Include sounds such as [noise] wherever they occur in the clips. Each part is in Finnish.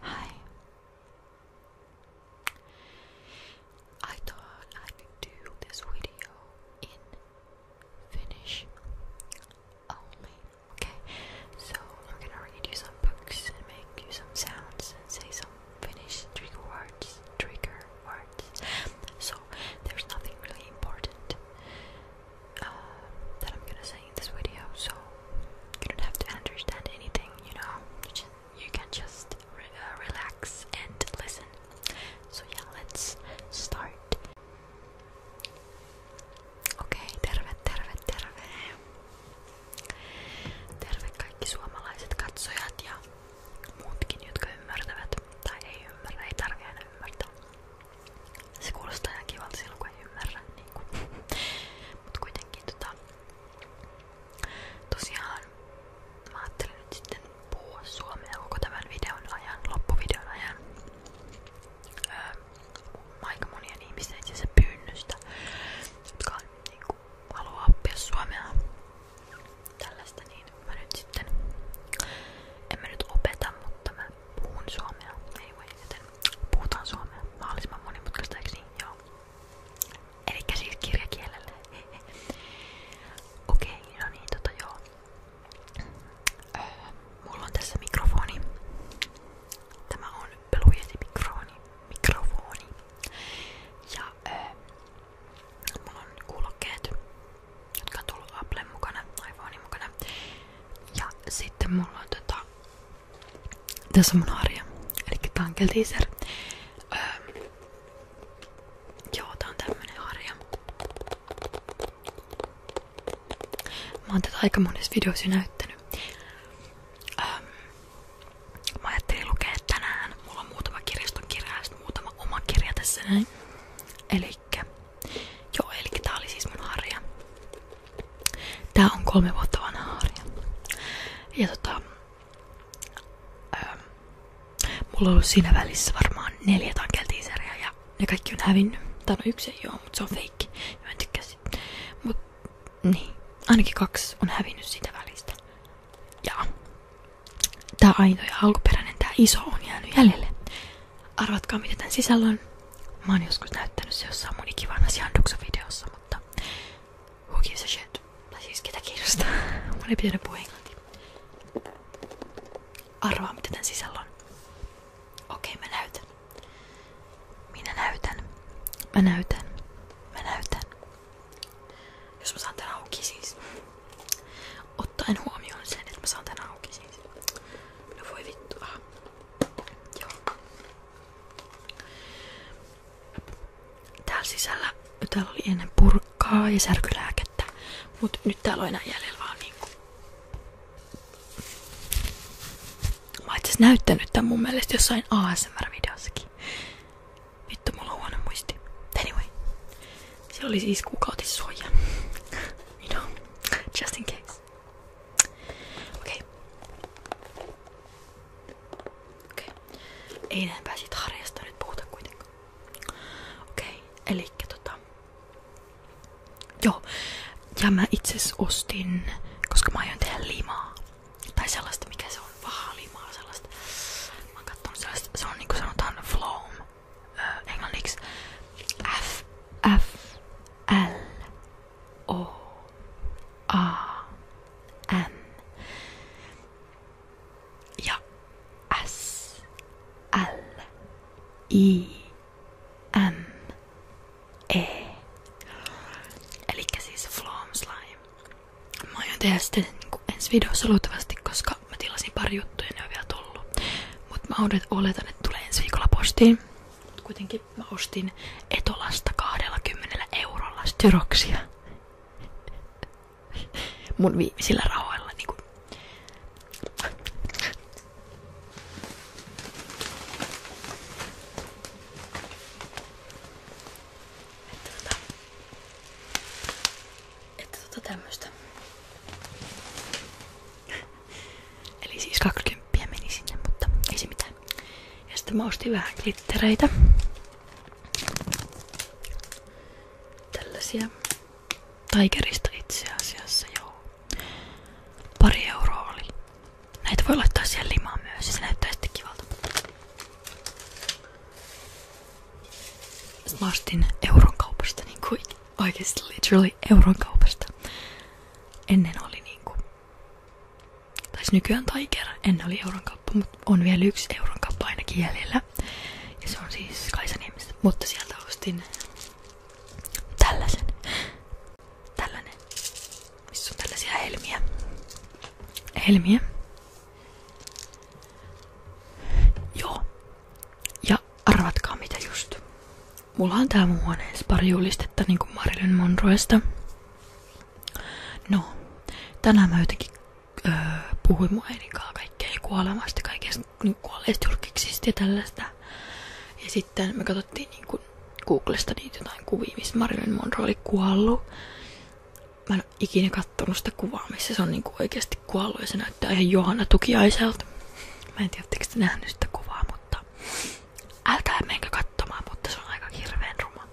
Hi. I thought I could do this video in Finnish only. Okay, so I'm gonna read you some books and make you some sounds and say some Finnish trigger words. Trigger words. So there's nothing really important uh, that I'm gonna say in this video, so you don't have to understand anything, you know. You, can just uh, relax and listen. So, yeah, let's start. Okei, okay, terve, terve, terve. Terve kaikki suomalaiset katsojat ja muutkin, jotka ymmärtävät. Tai ei ymmärrä, ei tarvitse aina ymmärtää. Se kuulostaa ihan kivalta silloin, kun ei ymmärrä. niinku. Mut kuitenkin tota, tosiaan mä ajattelin nyt sitten puhua suomea koko tämän videon ajan, loppuvideon ajan. Öö, aika monien ihmisten itse asiassa pyynnöstä, jotka niinku, haluaa oppia suomea tällaista, niin mä nyt sitten en mä nyt opeta, mutta mä puhun suomea anyway, joten Puhutaan suomea. Mahdollisimman monimutkaista, eikö niin? Joo. Elikkä siis kirjakielellä. Okei, okay, no niin, tota joo. Öö, mulla on tässä mikrofoni. Tämä on pelujesi mikrofoni. mikrofoni. Ja öö, mulla on kuulokkeet, jotka on tullut Applen mukana, iPhonein mukana. Ja sitten mulla on tota tässä on mun arja. Eli tää on teaser. Öö, joo, tää on tämmönen arja. Mä oon tätä aika monessa videossa näyttänyt. Öö, mä ajattelin lukea Mulla on muutama kirjaston kirja muutama oma kirja tässä joo, elikkä tää oli siis mun Tää on kolme vuotta vanha harja. Ja tota, öö, mulla on ollut siinä välissä varmaan neljä tankeltiiseriä ja ne kaikki on hävinnyt. Tai no yksi ei oo, mutta se on fake. Ja mä en tykkää sit. Mut niin, ainakin kaksi on hävinnyt siitä välistä. Ja tää ainoa ja alkuperäinen, tää iso on jäänyt jäljelle. Arvatkaa mitä tän sisällä on. Mä oon joskus näyttänyt se jossain mun ikivanhassa Janduksen videossa, mutta who gives a shit? Tai siis ketä kiinnostaa? [laughs] mun ei pitänyt puhua englantia. Arvaa mitä tän sisällä on. Okei, okay, mä näytän. Minä näytän. Mä näytän. Mä näytän. Jos mä saan tän auki siis. Ottaen huomioon sen, että mä saan tän auki siis. No voi ah. Joo. Täällä sisällä täällä oli ennen purkkaa ja särkylääkettä, mutta nyt täällä on enää jäljellä vaan niinku. Mä oon näyttänyt tämän mun mielestä jossain ASMR-videossakin. Vittu, mulla on huono muisti. Anyway. Siellä oli siis kuukautissuoja. [laughs] you know, just in case. Okei. Okei. Ei enempää siitä harjasta nyt puhuta kuitenkaan. Okei, elikkä tota... Joo. Ja mä itse ostin, koska mä aion tehdä limaa. Tai sellaista, mikä se on, vahaa limaa sellaista. Mä oon kattonut sellaista, se on niinku sanotaan floam. Öö, englanniksi F, F, L, O A N ja S L I M E. Eli siis Flom Slime. Mä aion tehdä sitten niinku ensi videossa luultavasti, koska mä tilasin pari juttuja ja ne on vielä tullut. Mut mä oletan, että tulee ensi viikolla postiin kuitenkin mä ostin Etolasta 20 eurolla styroksia. Mun viimeisillä rahoilla niinku. Että tota, että tota tämmöstä. Eli siis 20 meni sinne, mutta ei se mitään. Ja sitten mä ostin vähän glittereitä. Tällaisia. Tigerista itse asiassa, joo. Pari euroa oli. Näitä voi laittaa siihen limaan myös ja se näyttää sitten kivalta. mä ostin euron kaupasta, niin kuin oikeasti literally euron kaupasta. Ennen oli niinku taisi nykyään Tiger, ennen oli euron kauppa, mutta on vielä yksi euron kauppa ainakin jäljellä. Ja se on siis Kaisaniemessä, mutta sieltä ostin tällaisen. Tällainen. Missä on tällaisia helmiä. Helmiä. Joo. Ja arvatkaa mitä just. Mulla on tää mun huoneessa pari julistetta niinku Marilyn Monroesta. No, tänään mä jotenkin öö, puhuin mun äidinkaan kaikkea kuolemasta, kaikesta niin kuolleista julkiksista ja tällaista. Ja sitten me katsottiin niinku Googlesta niitä jotain kuvia, missä Marilyn Monroe oli kuollut. Mä en ole ikinä kattonut sitä kuvaa, missä se on niinku oikeasti kuollut ja se näyttää ihan Johanna Tukiaiselta. Mä en tiedä, oletteko te nähnyt sitä kuvaa, mutta älkää menkö katsomaan, mutta se on aika hirveen ruma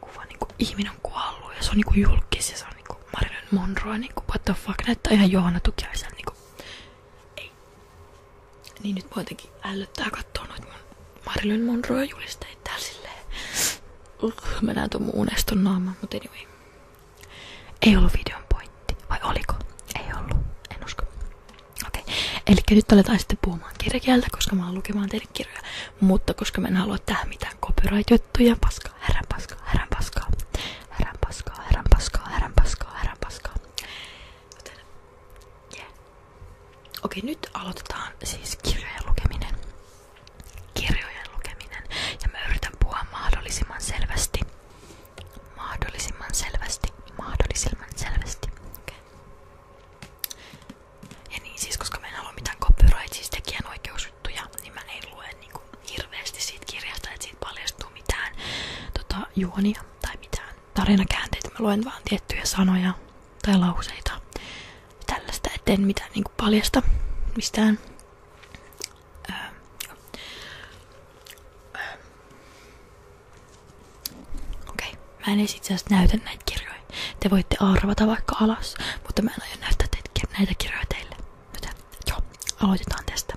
kuva. Niinku, ihminen on kuollut ja se on niinku julkis ja se on niinku Marilyn Monroe. Niinku, what the fuck, näyttää ihan Johanna Tukiaisen. Niinku. Ei. Niin nyt muutenkin älyttää katsoa noit mun Marilyn Monroe julisteit täällä silleen. Uh, mä näen tuon mun uneston naaman, mutta anyway. Ei ollut videon pointti. Vai oliko? Ei ollut. En usko. Okei, eli nyt aletaan sitten puhumaan kirjakieltä, koska mä oon lukemaan teille kirjoja, mutta koska mä en halua tähän mitään copyright-juttuja, paskaa, herran paskaa, herran paskaa, herran paskaa, herran paskaa, herran paskaa, härän paskaa. Joten, yeah. Okei, nyt aloitetaan siis kirjojen lukeminen. Kirjojen lukeminen. Ja mä yritän puhua mahdollisimman selvästi mahdollisimman selvästi, mahdollisimman selvästi. Okay. Ja niin siis, koska mä en halua mitään copyright, siis tekijänoikeusjuttuja, niin mä en lue niin mitään tota, juonia tai mitään tarinakäänteitä. Mä luen vaan tiettyjä sanoja tai lauseita tällaista, etten mitään niinku paljasta mistään. öö. öö. Okei, okay. mä en itse asiassa näytä näitä kirjoja. Te voitte arvata vaikka alas, mutta mä en aio näyttää teitä, näitä kirjoja teille. Joten joo, aloitetaan tästä.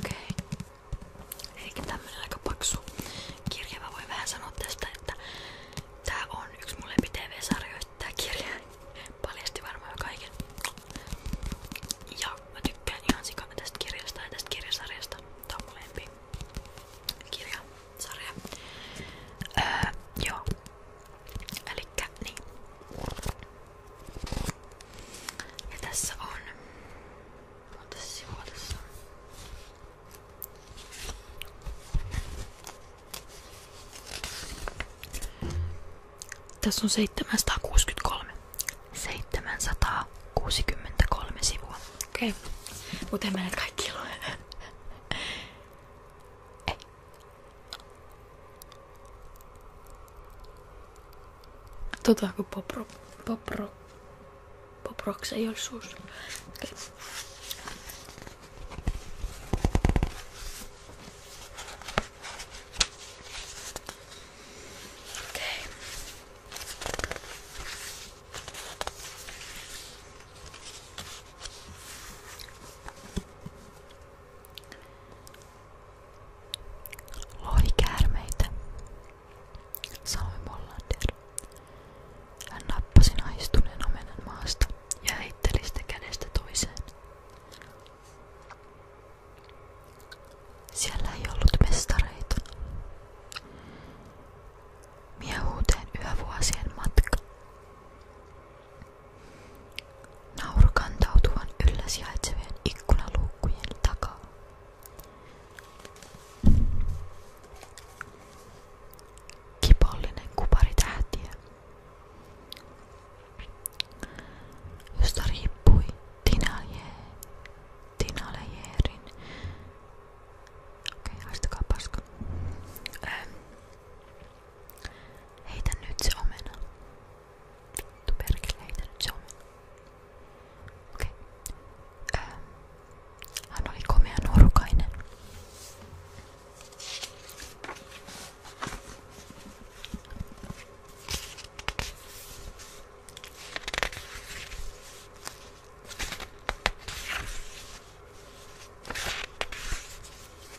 Okei. Eikä tämmönen aika paksu kirja. Mä voin vähän sanoa tästä, että tää on yksi mun lempi-tv-sarjoista tää kirja. Paljasti varmaan kaiken. Ja mä tykkään ihan sikana tästä kirjasta ja tästä kirjasarjasta. Tää on mun lempi kirjasarja. Öö, joo. Elikkä niin. tässä on. Monta sivua tässä on? Tässä on 763. 763 sivua. Okei. Okay. Mutta en mä kaikki Tota kuin popro, popro, poproks ei ole suus. Okay. Lohikäärmeitä, sanoi Mollander. Hän nappasi naistuneen omenan maasta ja heitteli sitä kädestä toiseen. Siellä ei ollut mestareita. Miehuuteen yövuosien matka. Nauru kantautuvan yllä sijaitsevien ikkunaluukkujen takaa. Kipollinen kuparitähtiö, josta riippui Tinalejeerin, okei okay, haistakaa paska, ähm, Heitä nyt se omena. Vittu perkele, heitä nyt se omena. Okei. Okay. Öö, ähm. Hän oli komea nuorukainen.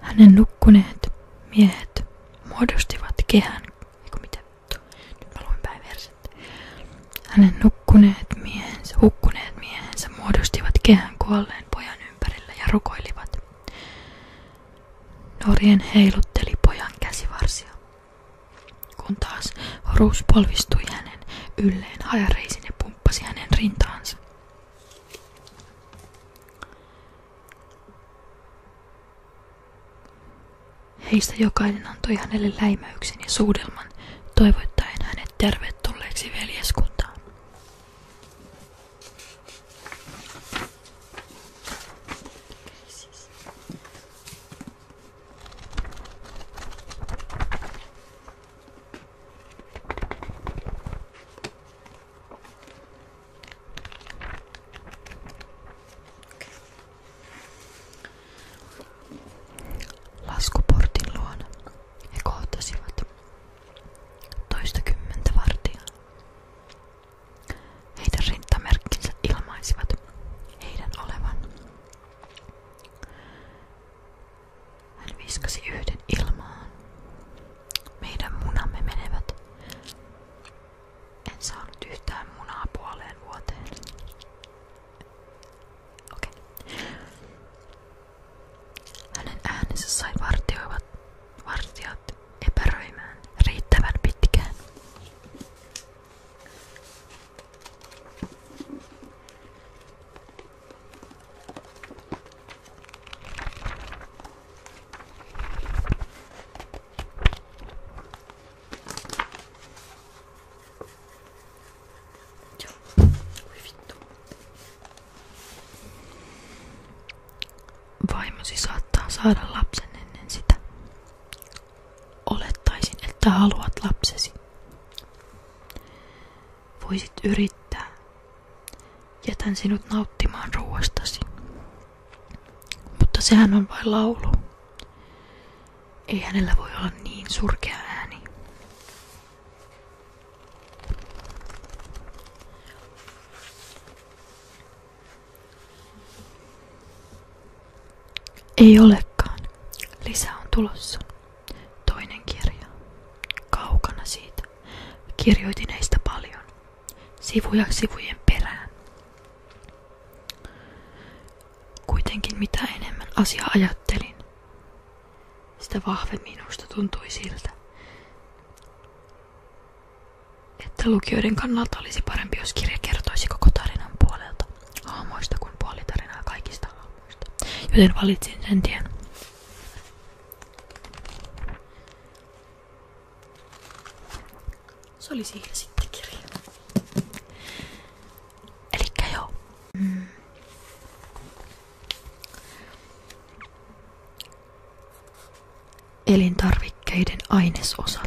Hänen nukkuneet miehet muodostivat kehän. Eiku mitä? Nyt mä luin päin verset. Hänen nukkuneet miehensä, hukkuneet miehensä muodostivat kehän kuolleen pojan ympärillä ja rukoilivat. Norjen heilutteli pojan käsivarsia, kun taas Horus polvistui hänen ylleen hajareisiin ja pumppasi hänen rintaansa. Heistä jokainen antoi hänelle läimäyksen ja suudelman, toivottaen hänet tervetulleeksi veljeskuntaan. Laskuportin luona he kohtasivat toistakymmentä vartijaa. Heidän rintamerkkinsä ilmaisivat heidän olevan hän viskasi yhden ilmaan. Meidän munamme menevät. En saanut yhtään munaa puoleen vuoteen. Okei. Okay. Hänen äänensä sai vartioivat, vartijat epäröimään riittävän pitkään. Tiens, oui, vittu. Vaimosi saada lapsen ennen sitä. Olettaisin, että haluat lapsesi. Voisit yrittää. Jätän sinut nauttimaan ruoastasi. Mutta sehän on vain laulu. Ei hänellä voi olla niin surkea ääni. Ei olekaan. Lisä on tulossa. Toinen kirja. Kaukana siitä. Kirjoitin heistä paljon. Sivuja sivujen perään. Kuitenkin mitä enemmän asia ajattelin, sitä vahve minusta tuntui siltä, että lukijoiden kannalta olisi parempi, jos kirja kertoisi koko tarinan puolelta, haamoista kuin puolitarinaa kaikista muista. Joten valitsin sen tien. Se oli siinä sitten kirja. Elikkä joo. Elintarvikkeiden ainesosat.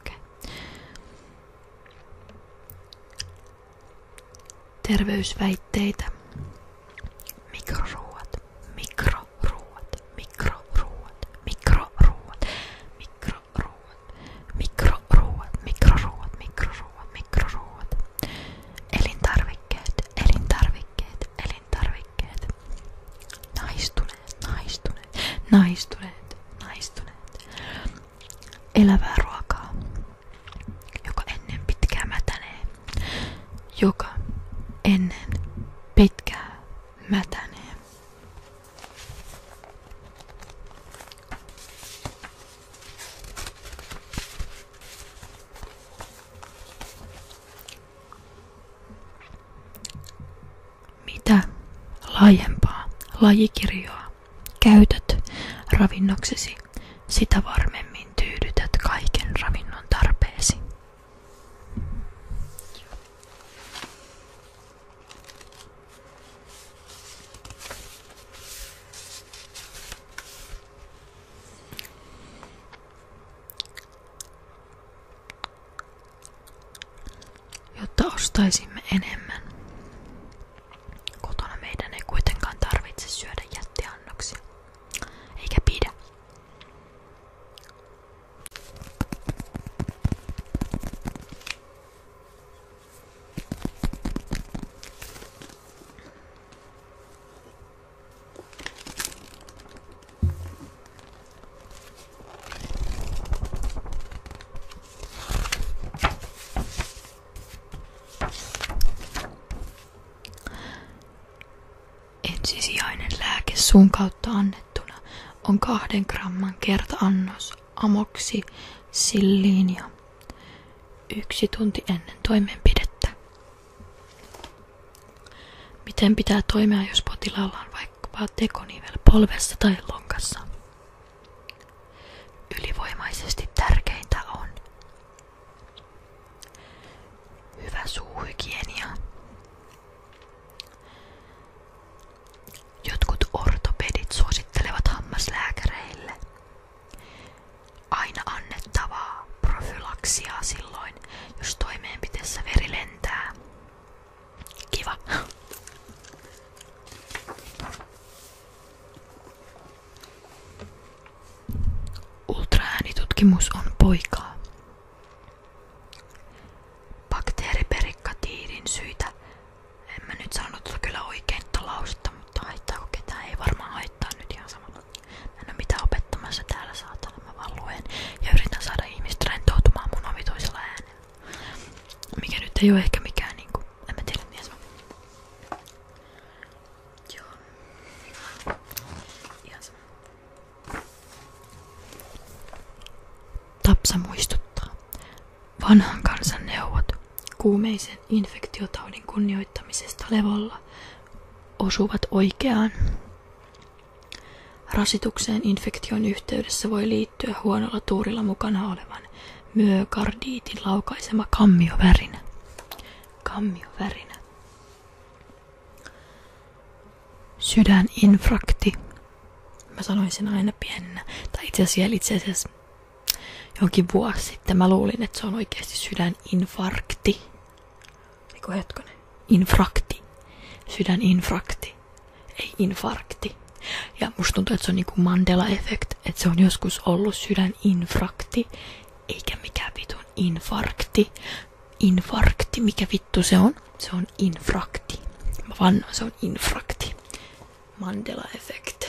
Okay. Terveysväitteitä. Mikroruuat, mikroruuat, mikroruuat, mikroruuat, mikroruuat, mikroruuat, mikroruuat, mikroruuat, mikroruuat, mikroruuat, Elintarvikkeet, elintarvikkeet, elintarvikkeet. Naistuneet, naistuneet, naistuneet, naistuneet. Elävää ruokaa, joka ennen pitkää mätänee. Joka ennen pitkää mätänee. Mitä laajempaa lajikirjoa käytät ravinnoksesi, sitä varmemmin tyydytät kaiken ravinnon tarpeesi jotta ostaisimme enemmän. Kotona meidän ei kuitenkaan tarvitse syödä jättiannoksia, eikä pidä. Ensisijainen lääke suun kautta annettuna on kahden gramman kertaannos amoksi silliinia yksi tunti ennen toimenpidettä. Miten pitää toimia, jos potilaalla on vaikkapa tekonivel polvessa tai lonkassa? Ylivoimaisesti tärkeintä on hyvä suuhygienia. Jotkut ortopedit suosittelevat hammaslääkäreille Aina annettavaa profylaksia silloin, jos toimeenpiteessä veri lentää. Kiva. Ultraäänitutkimus on poikaa. Bakteeriperikatiidin syitä. En nyt sanonut kyllä oikein lausetta, mutta haittaako ketään? Ei varmaan haittaa nyt ihan sama en oo mitään opettamassa täällä saatana, mä vaan luen ja yritän saada ihmiset rentoutumaan mun Mikä nyt ei oo ehkä mikään niinku, en mä tiedä mies on. Joo. Ihan sama. Tapsa muistuttaa. Vanhan kansan neuvot kuumeisen infektiotaudin kunnioittamisesta levolla osuvat oikeaan. Rasitukseen infektion yhteydessä voi liittyä huonolla tuurilla mukana olevan myokardiitin laukaisema kammiovärinä. Kammiovärinä. Sydäninfrakti. Mä sanoin sen aina pienenä. Tai itse asiassa, itse asiassa jonkin vuosi sitten mä luulin, että se on oikeasti sydäninfarkti. mikä hetkonen. Infrakti. Sydäninfrakti. Ei infarkti. Ja musta tuntuu, että se on niinku Mandela-effekt, että se on joskus ollut sydäninfrakti, eikä mikään vitun infarkti. Infarkti, mikä vittu se on? Se on infrakti. Mä vannoin, se on infrakti. Mandela-effekt.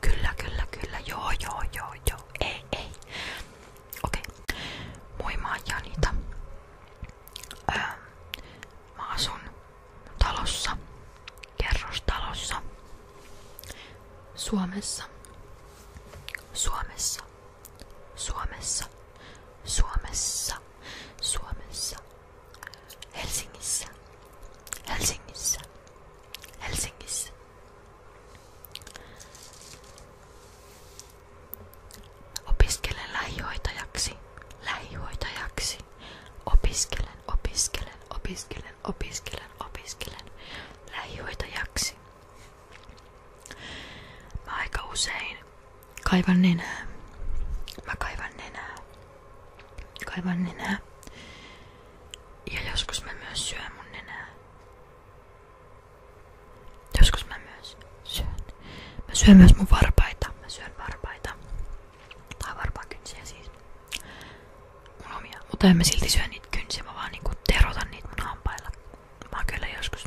Kyllä, kyllä, kyllä. Joo, joo, joo, joo. Ei, ei. Okei. Okay. Moi, mä ähm, talossa. Kerrostalossa. Suomessa. Suomessa. Suomessa. Suomessa. Suomessa. Helsingissä, Helsingissä, Helsingissä. Opiskelen lähihoitajaksi, lähihoitajaksi. Opiskelen, opiskelen, opiskelen, opiskelen, opiskelen lähihoitajaksi. Mä aika usein Kaivan nenää. Mä kaivan nenää. Kaivan nenää. Ja joskus mä myös syön mun nenää. Joskus mä myös syön. Mä syön myös mun varpaita. Mä varpaita. Tai varpaakynsiä siis. Mutta en mä silti syön niitä kynsiä. Mä vaan niinku terotan niitä mun hampailla. Mä oon kyllä joskus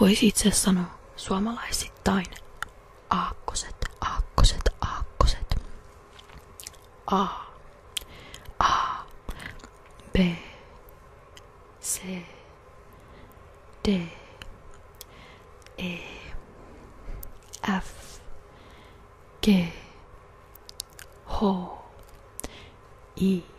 Voisi itse sanoa suomalaisittain aakkoset, aakkoset, aakkoset. A. A. B. C. D. E. F. G. H. I.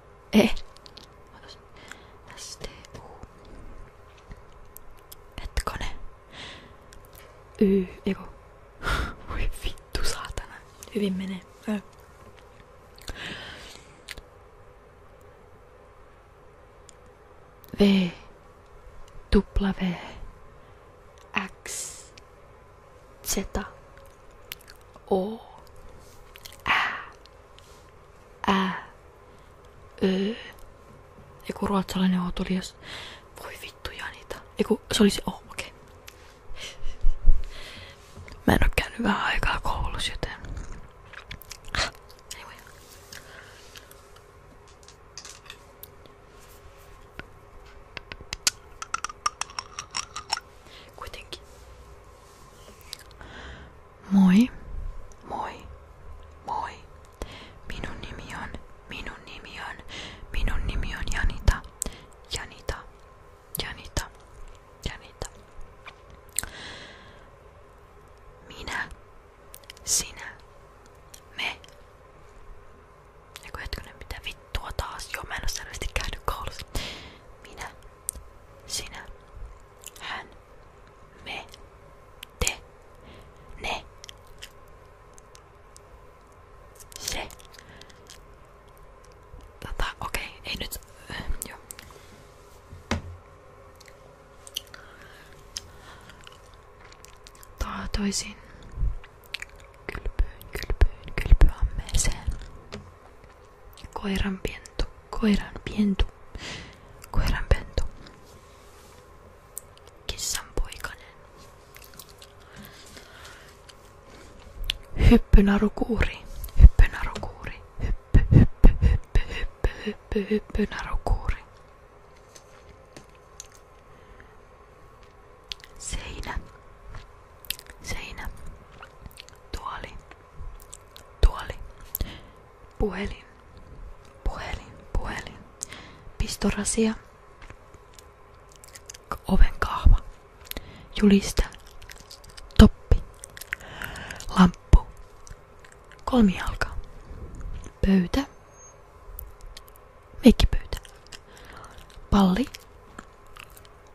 ehdotus. STU. Hetkone. Y, eiku. [laughs] Voi vittu saatana. Hyvin menee. Äh. V, W, X, Z, O, Ä, Ä. Öö, eiku ruotsalainen otulias. Voi vittu Janita. Eiku, se oli oh, okei. Okay. Mä en oo käynyt vähän aikaa koulussa, joten... Kuitenkin Moi, moi, moi. Minun nimi on, minun nimi on, minun nimi on Janita, Janita, Janita, Janita. Minä, sinä, me. Eiku hetkinen, mitä vittua taas? Joo, mä en oo sinä, hän. Me. Te. Ne. Se. Tota, okei, okay, ei nyt... Äh, joo. Taatoisin kylpyyn, kylpyyn, Koiran pentu. Koiran pentu. Koiran pentu. Kissan poikanen. Hyppynarukuuri. Hyppynarukuuri. Hyppy, hyppy, hyppy, hyppy, hyppy, hyppynarukuuri. Seinä. Seinä. Tuoli. Tuoli. Puhelin. Puhelin. Puhelin. Pistorasia. Oven kahva. Juliste. Toppi. Lamppu. Kolmijalka. Pöytä. Meikkipöytä. Palli.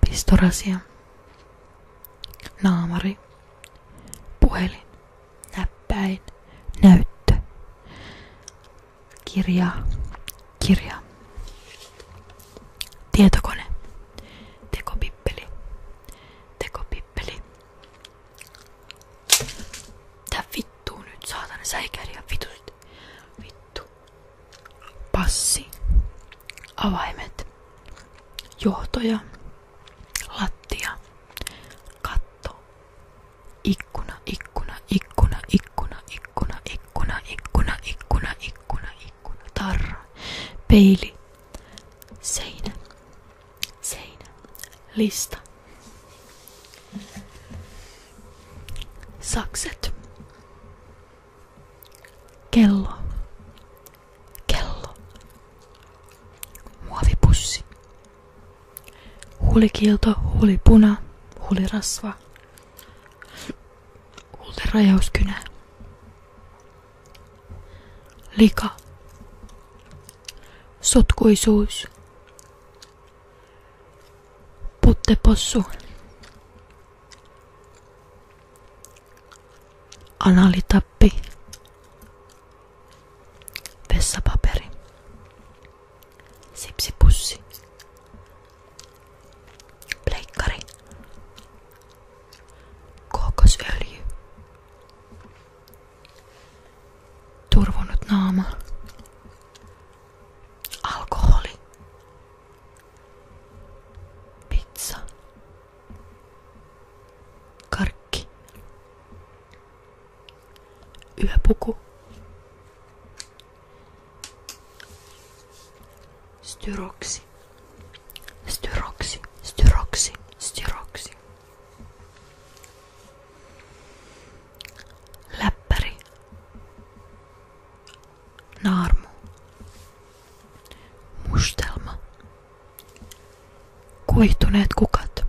Pistorasia. Naamari. Puhelin. Näppäin. Näyttö. Kirja. Kirja. Tietokone. Tekopippeli. Tekopippeli. Tää vittuu nyt, saatana säikäri ja vitus vittu. Passi. Avaimet. Johtoja. Lattia. Katto. Ikkuna, ikkuna, ikkuna, ikkuna, ikkuna, ikkuna, ikkuna, ikkuna, ikkuna, ikkuna, tarra. Peili. Seinä. Seinä. Lista. Sakset. Kello. Kello. Muovipussi. Huulikilto, huulipuna, huulirasva. Huulirajauskynä. Lika. Sotkuisuus. Puttepossu. Analitappi. Vessapaperi. Sipsipussi. Pleikkari. Kookosöljy. Turvonut naama. Alkoholi. Pizza. Karkki. Yöpuku. Styroksi. Styroksi. Styroksi. Styroksi. Läppäri. Naarmu. Mustelma. Kuihtuneet kukat.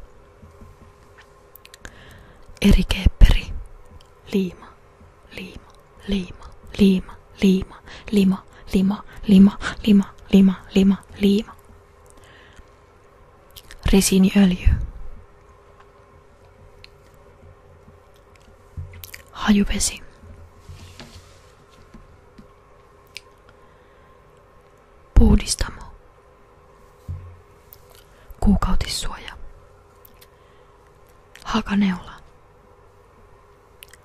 Erikeepperi. Liima. Liima. Liima. Liima. Liima. Lima. Lima. Lima. Lima. Lima. Lima. lima, Resiniöljy. Hajuvesi. Puhdistamo. Kuukautissuoja. Hakaneula.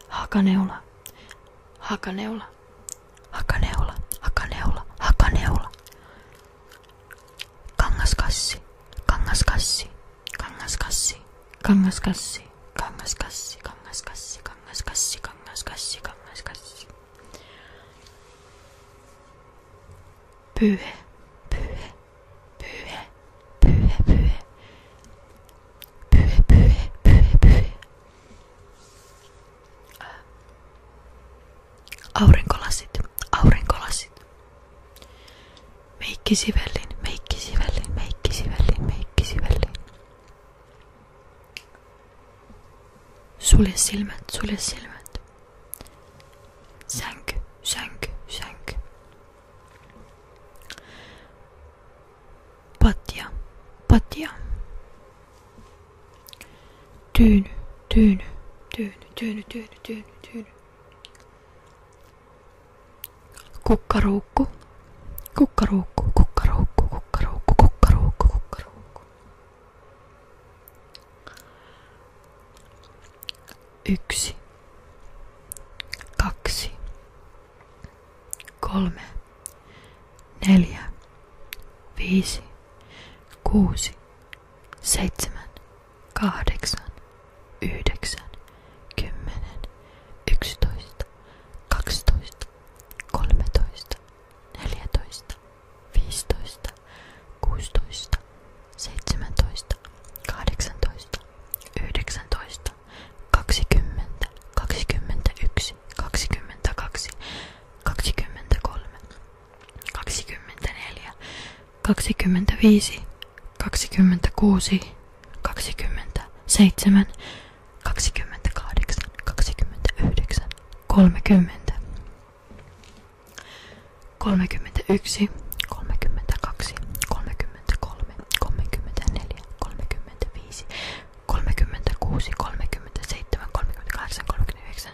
Hakaneula. Hakaneula. Hakaneula. Hakaneula. Hakaneula. がんがしかしがんがしかしがんがしかしがんがしかしがんがしかしがんがしかしがんがしかしがんがしかしがんがしかしブエブエブエブエブエブエブエブエブエ Aurinkolasit, aurinkolasit. meikki meikkisivellin, meikki meikkisivellin. Sulje silmät, sulje silmät. Sänky, sänky, sänky. Patja, patja. Tyyny, tyyny, tyyny, tyyny, tyyny, tyyny, tyyny. Kukkaruukku, kukkaruukku, kukkaruukku, kukkaruukku, kukkaruukku, kukkaruukku. Yksi, kaksi, kolme, neljä, viisi, kuusi, seitsemän, kahdeksan, yhdeksän, kymmenen, yksitoista, kaksitoista, kolmetoista, neljätoista, viisitoista, kuusitoista, seitsemäntoista, kahdeksantoista, yhdeksäntoista, kaksikymmentä, kaksikymmentäyksi, kaksikymmentäkaksi, kaksikymmentäkolme, kaksikymmentäneljä, kaksikymmentäviisi, kaksikymmentäkuusi, kaksikymmentäseitsemän, kaksikymmentäkahdeksan, kaksikymmentäyhdeksän, kolmekymmentä, kolmekymmentäyksi, kolmekymmentäkaksi, kolmekymmentäkolme, kolmekymmentäneljä, kolmekymmentäviisi, kolmekymmentäkuusi, kolmekymmentäseitsemän, kolmekymmentäkahdeksan, kolmekymmentäyhdeksän,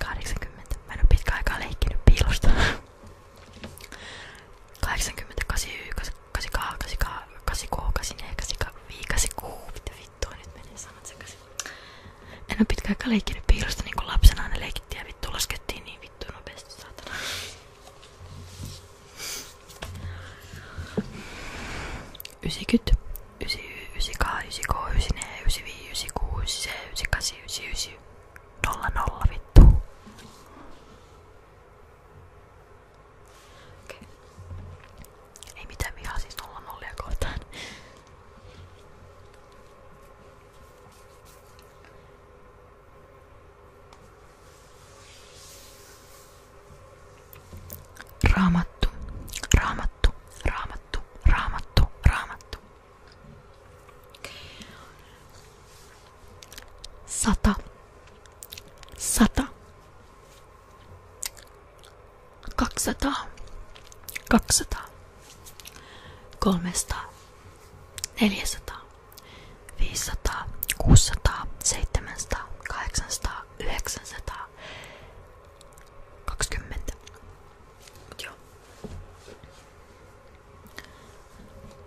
80. Mä en oo pitkään aikaa leikkinyt piilosta. 80, 89, 88, 89, 84, 85, mitä vittua nyt menee sanat sekaisin. En oo pitkään aikaa leikkinyt piilosta niinku lapsena aina leikittiin ja vittu laskettiin niin vittu nopeasti saatana. Ysikyt, ysi ysikaa ysikoo ysine ysivii ysikuu ysise ysikasi ysi ysi nolla nolla vittu ei mitään vihaa siis nolla nollia kohtaan Raamattu, raamattu, Raamattu, raamattu, raamattu. Sata. Sata. Kaksisataa. Kaksisataa. Kolmesataa. Neljäsataa. Viisisataa. Kuusisataa. Seitsemänsataa. Kahdeksansataa. Yhdeksänsataa. Kaksikymmentä. Mut joo.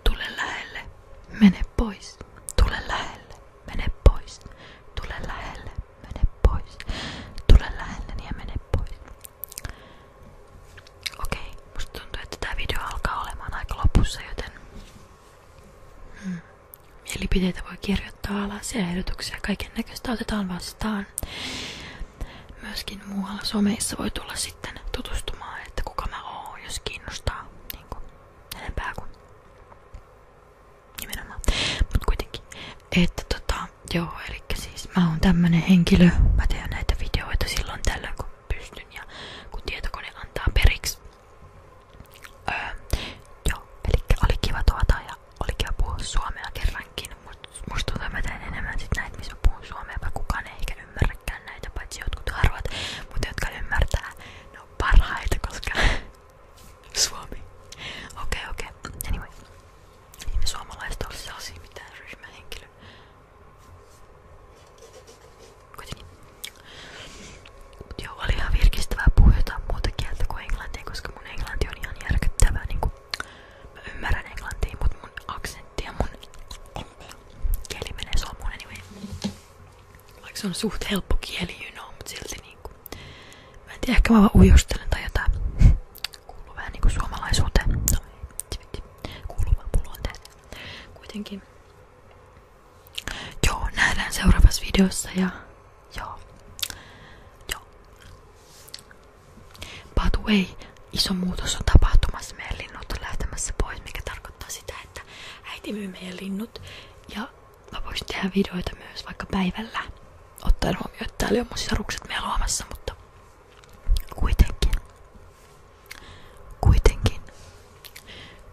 Tule pois. Tule lähelle, mene pois. Tule lähelle, mene pois. Tule lähelle ja mene pois. Okei, musta tuntuu, video alkaa olemaan aika joten hmm. mielipiteitä voi kirjoittaa alas ja ehdotuksia kaiken näköistä otetaan vastaan mukaan. Myöskin muualla someissa voi tulla sitten tutustumaan, että kuka mä oon, jos kiinnostaa niin kuin, enempää kuin nimenomaan. Mut kuitenkin, että tota, joo, eli siis mä oon tämmönen henkilö, mä teen näitä videoita silloin tällöin kun pystyn ja kun tietokone antaa periksi. Öö, joo, eli oli kiva tuota ja oli kiva suomea kerrankin, mutta musta tuntuu, enemmän sit näitä, missä mä suomea, vaikka kukaan ei ehkä ymmärräkään näitä, harvat, mutta jotka ymmärtää, ne on koska [laughs] suomi. Okei, okay, Anyway. Ei me suomalaiset ole sellaisia mitään oli ihan virkistävää puhua jotain englantia, koska mun englanti on ihan järkyttävää, niinku Mä ymmärrän englantia, mut mun aksentti ja mun kieli menee solmuun anyway. Vaikka se on suht helppo kieli, you know, mut silti niinku. Mä en tiedä, ehkä mä vaan ujostelen tai jotain. Kuuluu vähän niinku suomalaisuuteen. No, kuuluu vaan pulonteelle. Kuitenkin. Joo, nähdään seuraavassa videossa ja joo. Joo. By the way, iso muutos on tapahtumassa. Meidän linnut on lähtemässä pois, mikä tarkoittaa sitä, että äiti myy meidän Ja mä tehdä videoita myös vaikka päivällä. Ottaen huomioon, että täällä on mun sisarukset meillä luomassa, mutta kuitenkin. Kuitenkin.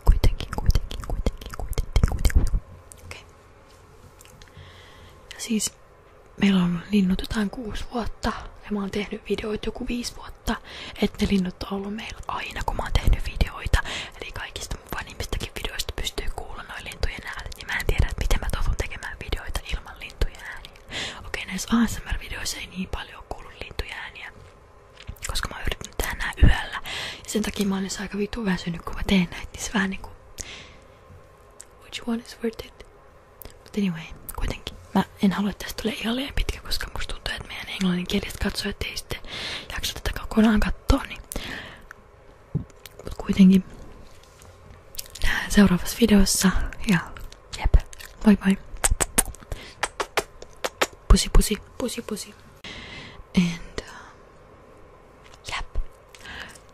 Kuitenkin, kuitenkin, kuitenkin, kuitenkin, kuitenkin. kuitenkin, Okay. Ja siis meillä on linnut jotain kuusi vuotta ja mä oon tehnyt videoita joku viisi vuotta, että ne linnut on ollut meillä aina kun mä oon tehnyt videoita. Eli kaikista mun vanhimmistakin videoista pystyy kuulla noin lintujen äänet. Ja niin mä en tiedä, että miten mä toivon tekemään videoita ilman lintujen ääniä. Okei, näissä ASMR-videoissa ei niin paljon kuulu lintujen ääniä, koska mä oon yrittänyt tehdä nää yöllä. Ja sen takia mä oon aika vitu väsynyt, kun mä teen näitä, niin se vähän niinku Which one is worth it? But anyway, kuitenkin. Mä en halua, että tästä tulee ihan liian pitkä, koska musta tuntuu, että meidän englanninkieliset katsojat ei sitten jaksa tätä kokonaan katsoa, niin... Mut kuitenkin nähdään seuraavassa videossa ja jep, moi moi. Pussy, pussy, pussy, pussy. And um,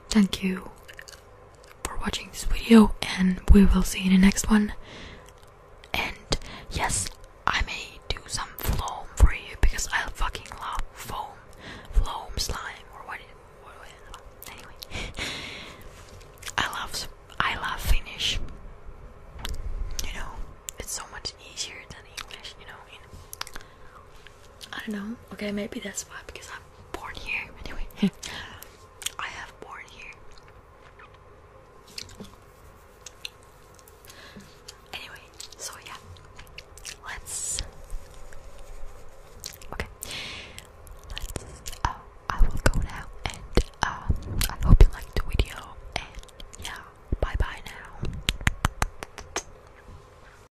Thank you for watching this video, and we will see you in the next one. And yes, I may do some foam for you because I fucking love foam, foam slime, or what. anyway, [laughs] I love I love Finnish. You know, it's so much easier than English. You know. I don't know. Okay, maybe that's why because I'm born here. Anyway, [laughs] I have born here. Anyway, so yeah, let's. Okay, let's. Oh, I will go now, and um, I hope you liked the video. And yeah, bye bye now.